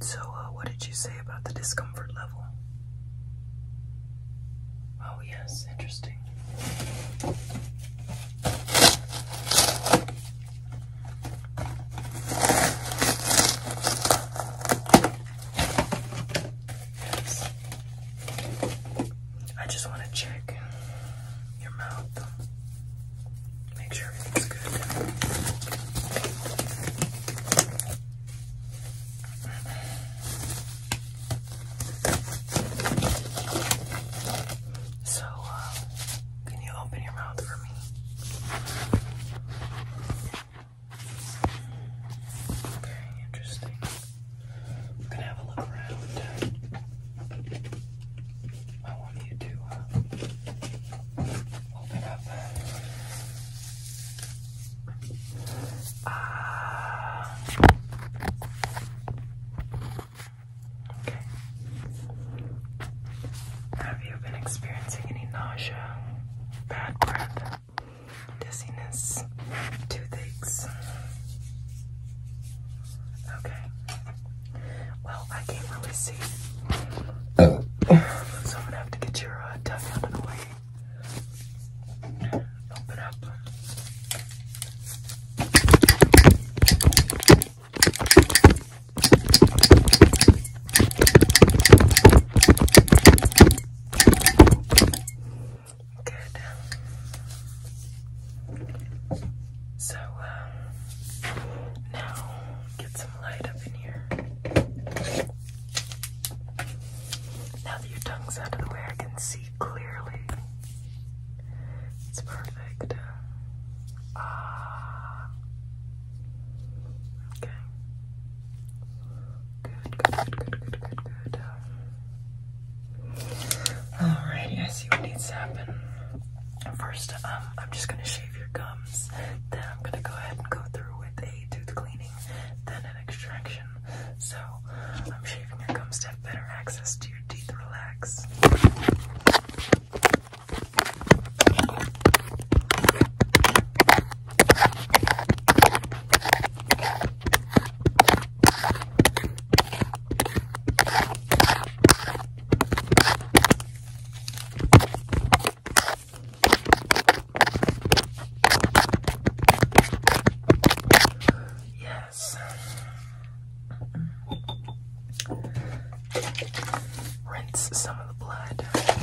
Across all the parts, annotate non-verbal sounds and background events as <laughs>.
So, uh, what did you say about the discomfort level? Oh, yes, interesting. Yes. I just want to check your mouth. Make sure everything's good. So, uh, can you open your mouth for me? Very interesting. We're gonna have a look around. I want you to uh, open up. okay. Ah. Have you been experiencing any nausea, bad breath, dizziness, toothaches? Okay. Well, I can't really see. Oh. so I'm gonna have to get your uh, tongue out of the way. Open up. Good. So uh, now get some light up in here. Now that your tongue's out of the way, I can see clearly. It's perfect. Ah. Okay. Good, good, good, good, good, good, good. Alrighty, I see what needs to happen. First, um, I'm just gonna shave your gums. Then I'm gonna go ahead and go through with a tooth cleaning, then an extraction. So I'm shaving your gums to have better access to your teeth. Relax. Yes. Rinse some of the blood. Okay.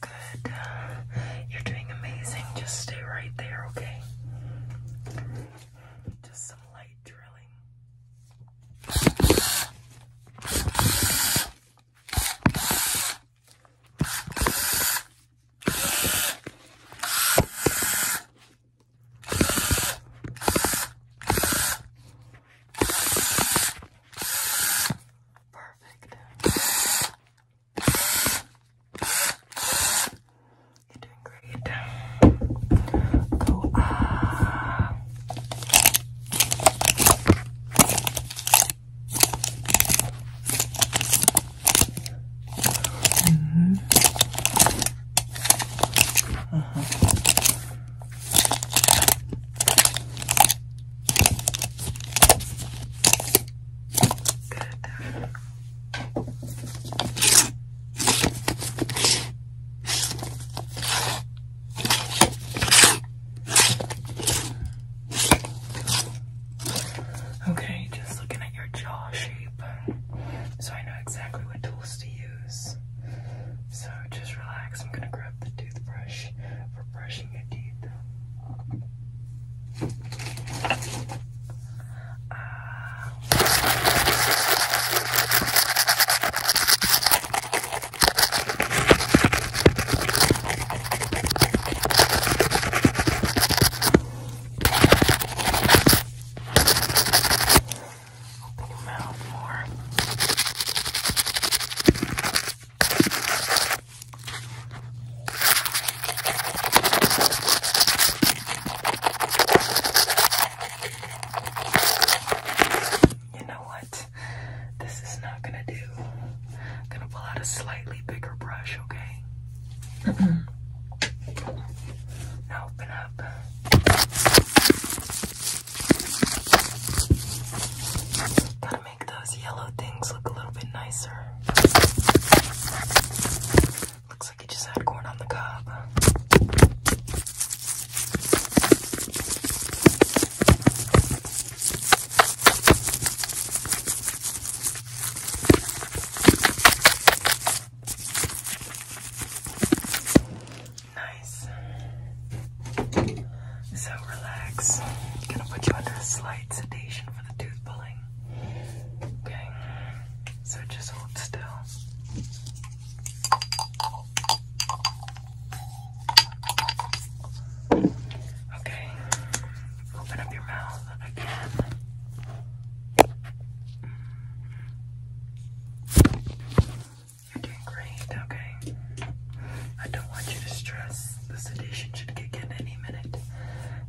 Good. You're doing amazing. Just stay right there, okay? Just some light drilling. Perfect. You're doing great. Go ah. -hmm. uh -huh. Okay, just looking at your jaw shape, so I know exactly what tools to use. So just relax. I'm gonna grab the toothbrush for brushing your teeth. Open your mouth more. You know what? This is not gonna do. I'm gonna pull out a slightly bigger brush, okay? <clears throat> now open up. Gotta make those yellow things look a little bit nicer. Looks like you just had corn on the cob. Nice. So relax. gonna put you under a slight sedation for the tooth pulling. Okay, so just hold still. Okay, open up your mouth again. You're doing great, okay? I don't want you to stress the sedation should kick in any minute.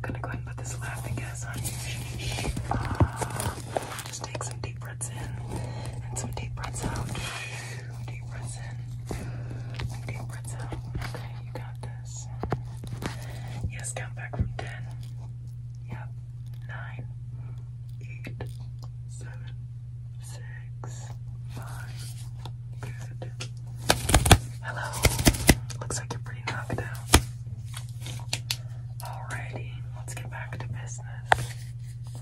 gonna go ahead and put this laughing gas on you. Uh, just take some deep breaths in and some deep breaths out. Deep breaths in, deep breaths out. Okay, you got this. Yes, count back from ten. Yep. Nine, eight, seven, six, five. Good. Hello. Looks like you're pretty knocked out. Alrighty, let's get back to business.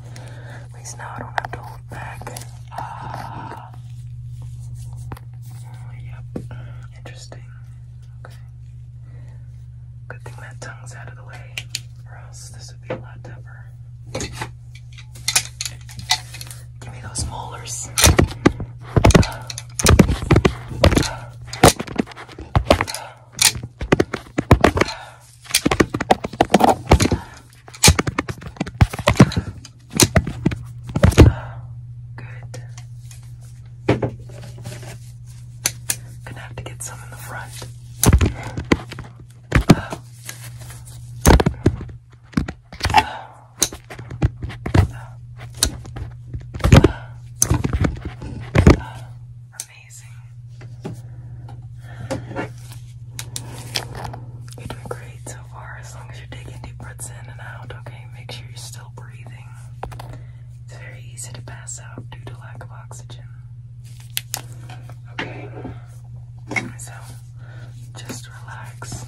At least now I don't have to hold back. Ah. yep. Interesting. Okay. Good thing that tongue's out of the way, or else this would be a lot tougher. Give me those molars. Good. Gonna have to get some in the front. Uh, uh, you're doing great so far as long as you're taking deep breaths in and out, okay? Make sure you're still breathing. It's very easy to pass out due to lack of oxygen. Okay, so just relax.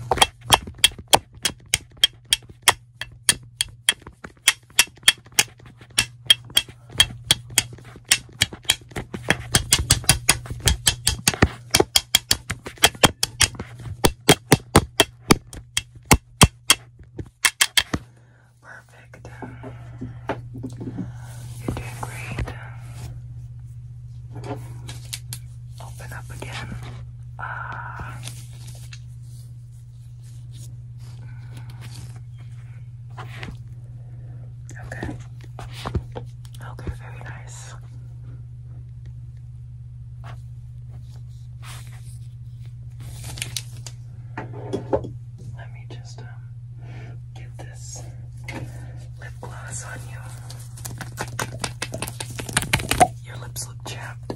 Perfect. You're doing great. Open up again. Ah. Okay. Okay, very nice. Let me just um get this lip gloss on you. Your lips look chapped.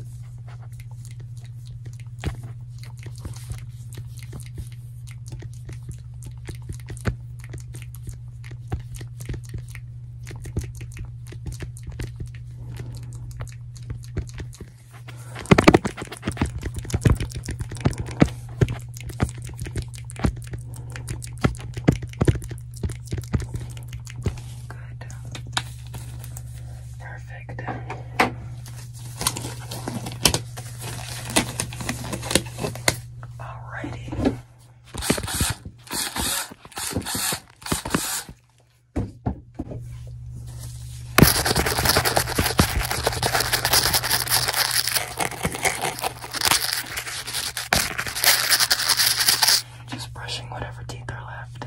Good perfect. Alrighty. Just brushing whatever teeth are left.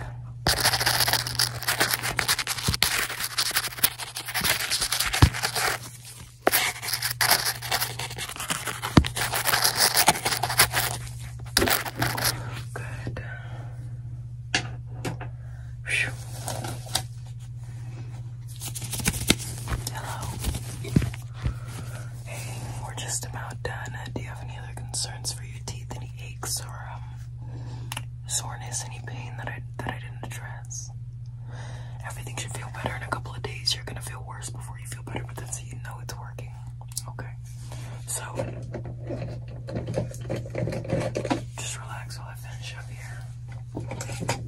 Good. Hello. Hey, we're just about done. Uh, do you have any other concerns for your teeth? any aches or um, soreness, any pain that I that I didn't address. Everything should feel better in a couple of days. You're gonna feel worse before you feel better, but that's so you know it's working. Okay. So just relax while I finish up here.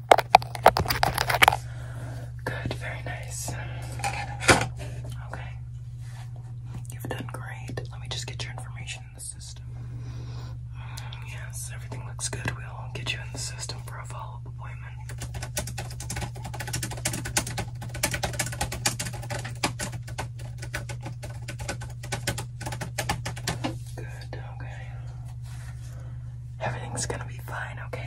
Good, very nice. Okay. You've done great. Let me just get your information in the system. Mm, yes, everything looks good. We'll get you in the system for a follow up appointment. Good, okay. Everything's gonna be fine, okay?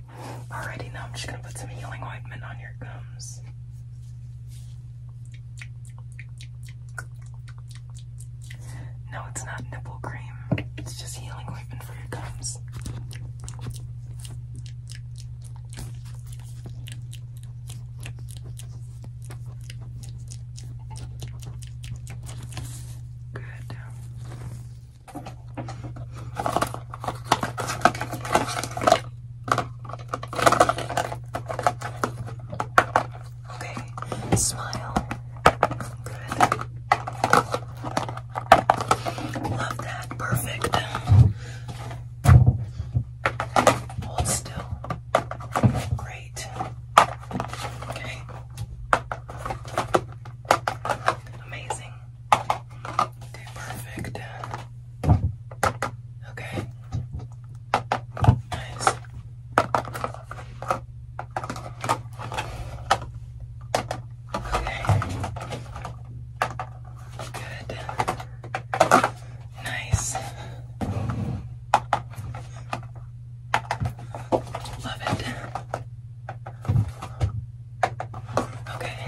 Alrighty, now I'm just gonna put some healing ointment on your gums. No, it's not nipple cream, it's just healing ointment for your gums. Good. Okay, smile. Good. Love that. Perfect. Hold still. Great. Okay. Amazing. Okay, perfect. Okay. Nice. Okay. Good. Nice. Love it. Okay.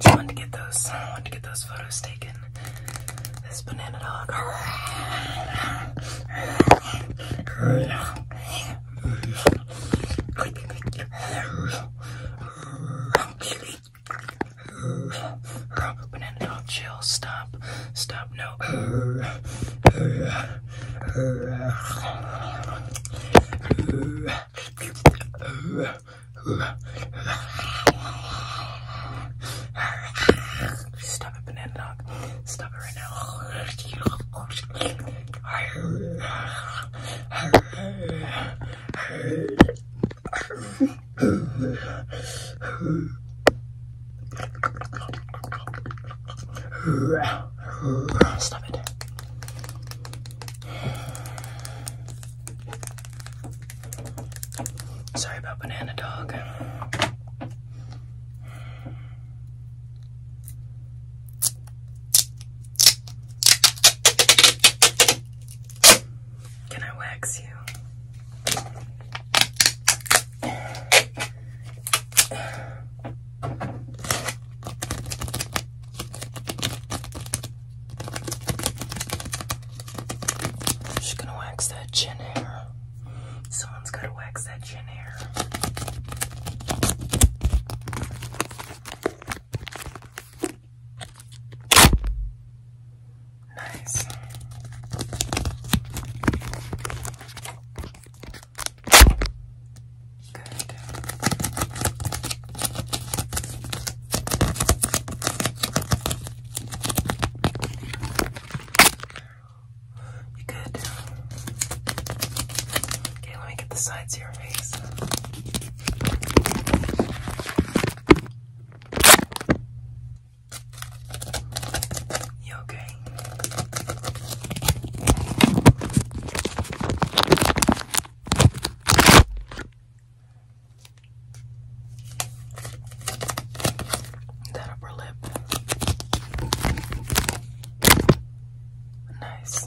Just wanted to get those, wanted to get those photos taken. This banana dog. Banana dog, chill, stop, stop, no. Stop it, banana dog. Stop it right now. <laughs> Stop it. Sorry about banana dog. Can I wax you? I'm just gonna wax that chin hair. Someone's gotta wax that chin hair. Nice. Good. You good? Okay, let me get the sides of your face. You okay? That upper lip. Nice.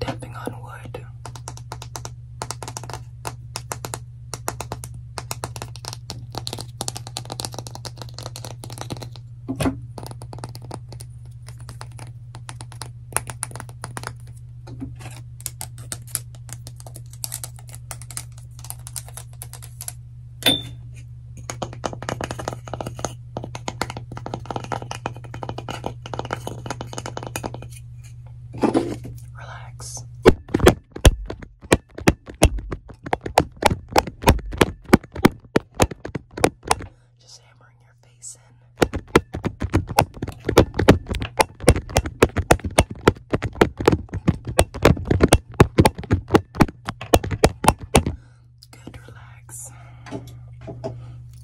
Tapping on wood. Relax. Just hammering your face in. Good, relax.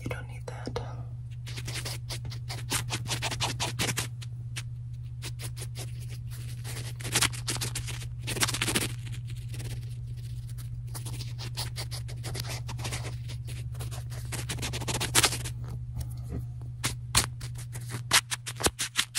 You don't need that.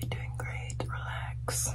You're doing great, relax.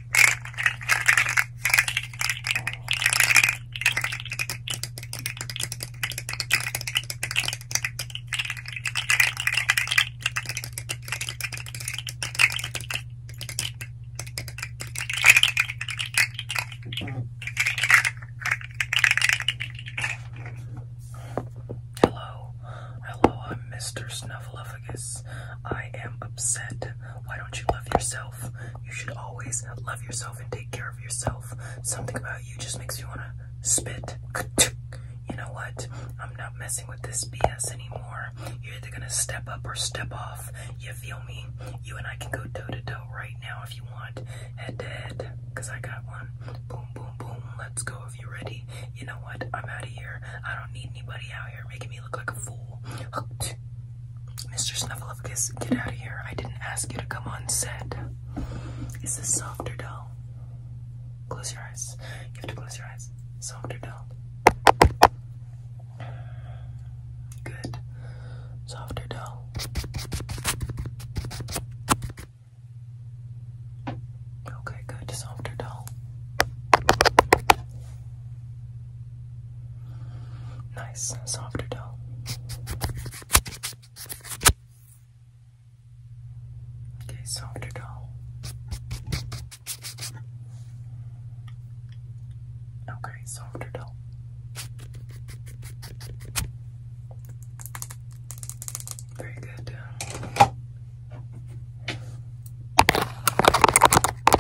Hello, hello, I'm Mr. Snuffleupagus esophagus. I am upset. Why don't you love yourself? You should always love yourself and take care of yourself. Something about you just makes you want to spit. <laughs> You know what? I'm not messing with this BS anymore. You're either gonna step up or step off. You feel me? You and I can go toe to toe right now if you want. Head to head, cause I got one. Boom, boom, boom. Let's go if you're ready. You know what? I'm out of here. I don't need anybody out here making me me look like Mr. Snuffleupagus, get out of here. I didn't ask you to come on set. Is this soft or dull? Close your eyes. You have to close your eyes. Soft or dull? Good. Soft or dull? Okay, good. Soft or Nice, softer dough. Okay, softer dough. Okay, softer dough. Very good.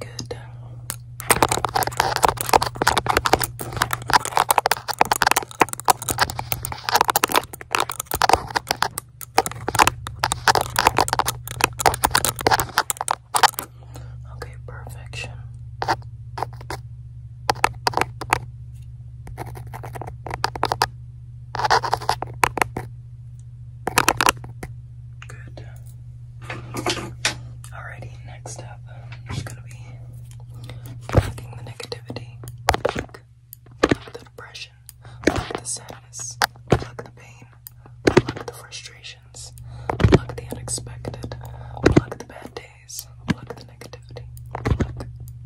Good. Okay, perfection. Good. Alrighty, next up, um, i gonna be plucking the negativity, pluck, the depression, pluck the sadness, pluck the pain, pluck the frustrations, pluck the unexpected, pluck the bad days, pluck the negativity, pluck,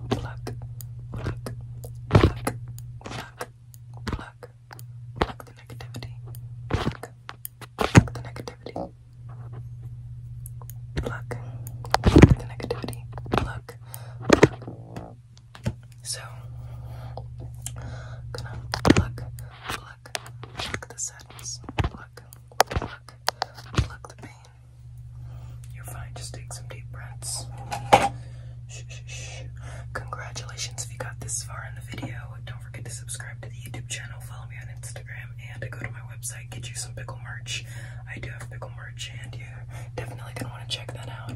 pluck, pluck, pluck, pluck, pluck, Pluck, pluck the negativity. Pluck, pluck the negativity. Pluck, pluck the negativity. Pluck. pluck. So, gonna pluck, pluck, pluck the sadness. Pluck, pluck, pluck the pain. You're fine. Just take some deep breaths. Shh, shh, shh. Congratulations if you got this far in the video. Don't don't forget to subscribe to the YouTube channel, follow me on Instagram, and go to my website, get you some pickle merch. I do have pickle merch, and you definitely gonna want to check that out.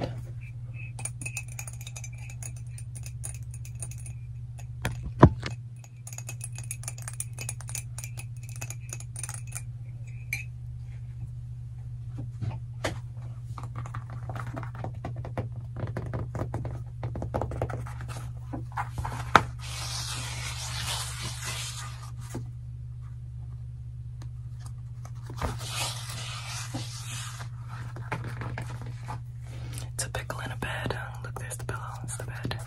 It's a pickle in a bed. Look, there's the pillow, it's the bed.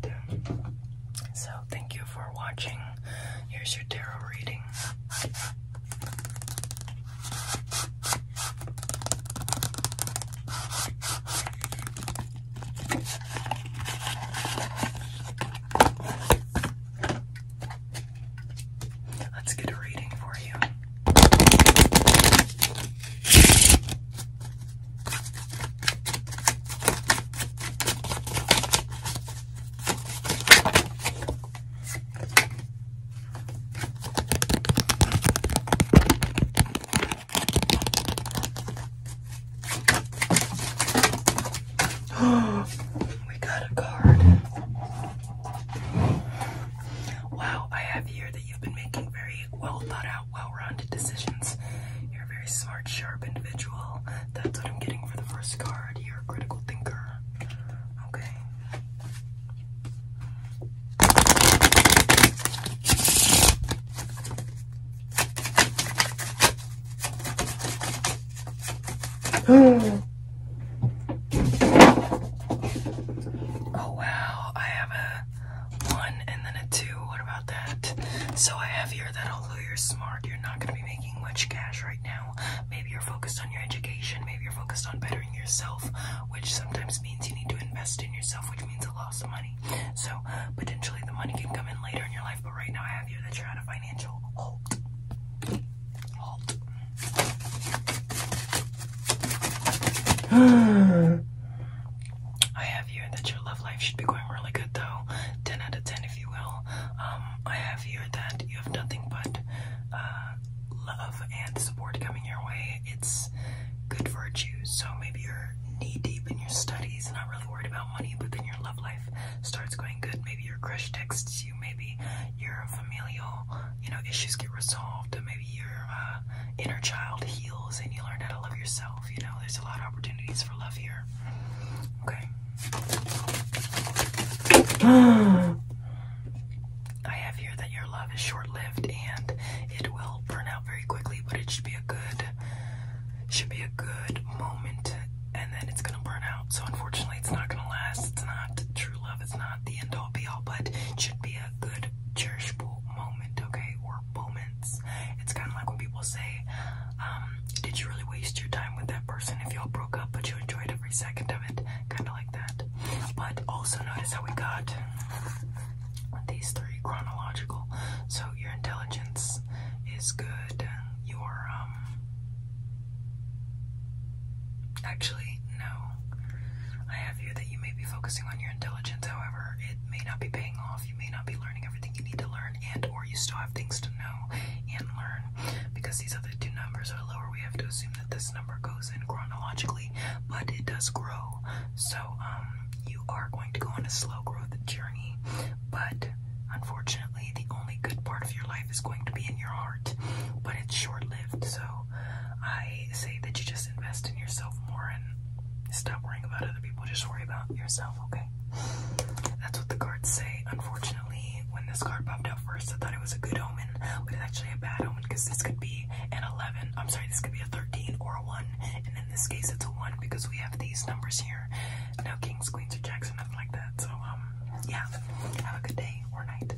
Good. So, thank you for watching. Here's your tarot reading. Let's get a reading for you. <gasps> we got a card. Wow, I have here that you've been making very well thought out, well rounded decisions. You're a very smart, sharp individual. That's what I'm getting for the first card. You're a critical thinker. Okay. <gasps> oh wow, I have a one and then a two. What about that. So I have here that although you're smart, you're not going to be making much cash right now. Maybe you're focused on your education, maybe you're focused on bettering yourself, which sometimes means you need to invest in yourself, which means a loss of money. So potentially the money can come in later in your life, but right now I have here that you're at a financial <gasps> I have here that your love life should be going really good though. 10 out of 10 if you will. Um, I have here that you have nothing but uh, love and support coming your way. It's good virtues, so maybe you're knee deep in your studies, not really worried about money, but then your love life starts going good. Maybe your crush texts you, maybe your familial, you know, issues get resolved, maybe your uh, inner child heals and you learn how to love yourself. You know, there's a lot of opportunities for love here. Okay. I have here that your love is short-lived and it will burn out very quickly, but it should be a good should be a good moment and then it's gonna burn out. So unfortunately it's not gonna last. It's not true love, it's not the end all be all, but should be a good cherishable moment, okay? Or moments. It's kinda like when people say um, did you really waste your time with that person if y'all broke up but you enjoyed every second of it? Kind of like that. But also notice how we got these three chronological. So your intelligence is good. Your, um, actually, no. I have here that you may be focusing on your intelligence, however, it may not be paying off. You may not be learning everything you need to learn, learn and or you still have things to know and learn. Because these other two numbers are lower, we have to assume that this number goes in chronologically, but it does grow. So um you are going to go on a slow growth journey, but unfortunately the only good part of your life is going to be in your heart, but it's short-lived. So I say that you just invest in yourself more and stop worrying about other people, just worry about yourself okay? That's what the cards say. Unfortunately, when this card popped out first, I thought it was a good omen, but it's actually a bad omen because this could be an 11. I'm sorry, this could be a 13 or a 1, and in this case, it's a 1 because we have these numbers here. No kings, queens, or jacks, or nothing like that. So, um, yeah, have a good day or night.